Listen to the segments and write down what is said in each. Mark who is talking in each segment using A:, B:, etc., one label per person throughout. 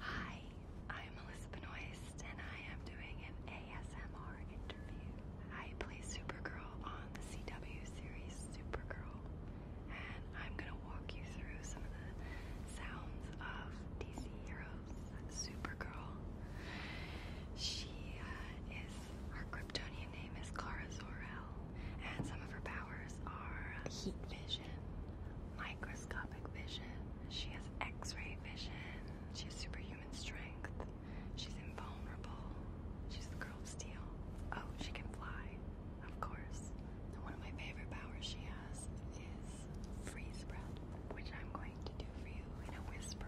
A: Hi, I'm Melissa Benoist, and I am doing an ASMR interview. I play Supergirl on the CW series Supergirl, and I'm gonna walk you through some of the sounds of DC Heroes Supergirl. She uh, is, her Kryptonian name is Kara Zora, and some of her powers are heat vision, microscopic vision. She has x-ray vision. She has superhuman strength. She's invulnerable. She's the girl of steel. Oh, she can fly, of course. And one of my favorite powers she has is freeze breath, which I'm going to do for you in a whisper.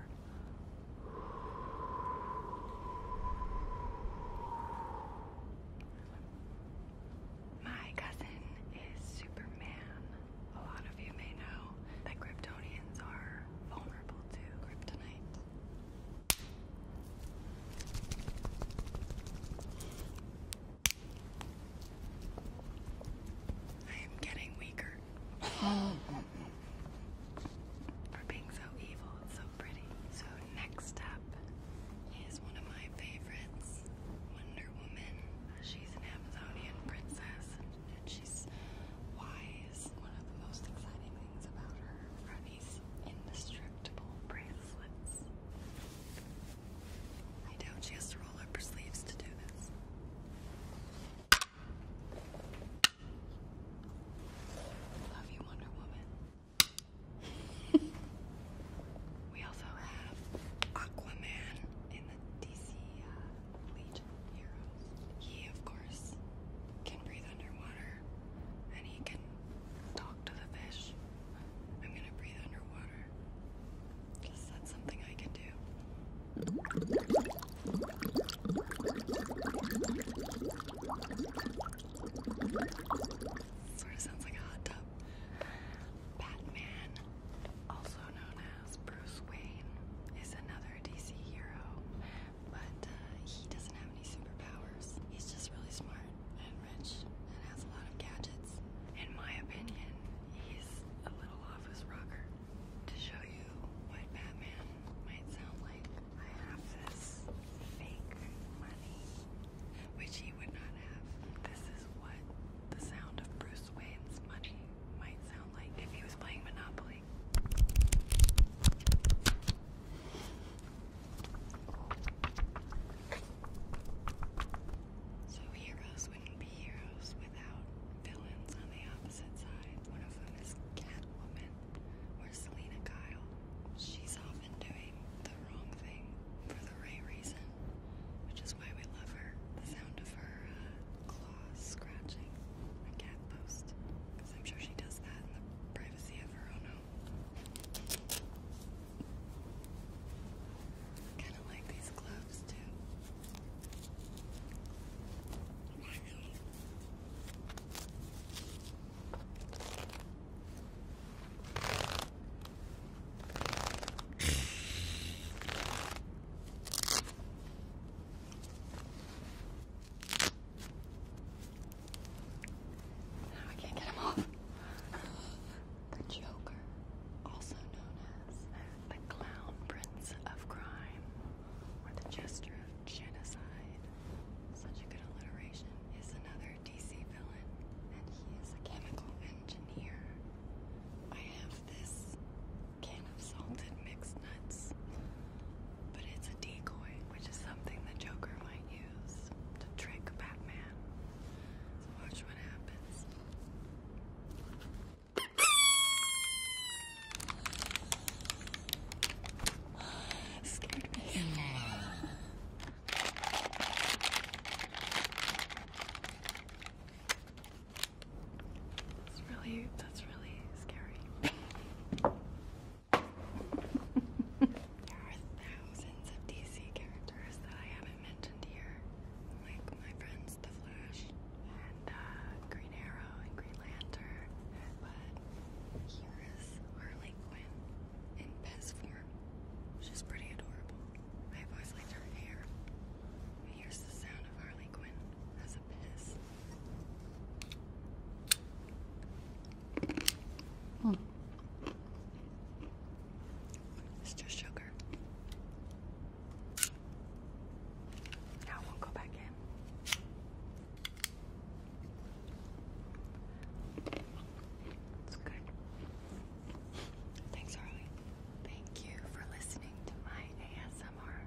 A: My cousin is Superman. A lot of you may know that Kryptonians are vulnerable to kryptonite. I am getting weaker. for being so evil. so pretty. So, next up is one of my favorites Wonder Woman. She's an Amazonian princess and she's wise. One of the most exciting things about her are indestructible bracelets. I doubt she has to roll up her sleeves to do this. Love you, Wonder Woman. we also have Aquaman in the DC uh, He, of course, can breathe underwater and he can talk to the fish. I'm gonna breathe underwater because that's something I can do. Sort sounds like a hot tub. Batman, also known as Bruce Wayne, is another DC hero, but uh, he doesn't have any superpowers. He's just really smart and rich and has a lot of gadgets. In my opinion, he's a little office rocker to show you what Batman might sound like. I have this fake money, which he would not have. This is what the sound of Bruce Wayne's money might sound like if he was playing Monopoly. So heroes wouldn't be heroes villains on the opposite side. One of them is Catwoman or Selena Kyle. She's often doing the wrong thing for the right reason, which is why we love her. The sound of her uh, claws scratching a cat post, because I'm sure she does that in the privacy of her own home. I kind of like these gloves too. Now I can't get them off the Joker, also known as the Clown Prince of Crime or the Jester of Genocide. Such a good alliteration is another DC villain, and he is a chemical engineer. I have this can of salted mixed nuts, but it's a decoy, which is something the Joker might use to trick Batman. watch what happens. Scared me. It's really, that's really scary there are thousands of DC characters that I haven't mentioned here, like my friends The Flash and uh, Green Arrow and Green Lantern. But here is Harley Quinn in Pez form. She's pretty adorable. I've always liked her hair. Here's the sound of Harley Quinn as a piss. Hmm. It's sugar. Now it won't go back in. It's good. Thanks, Harley. Thank you for listening to my ASMR.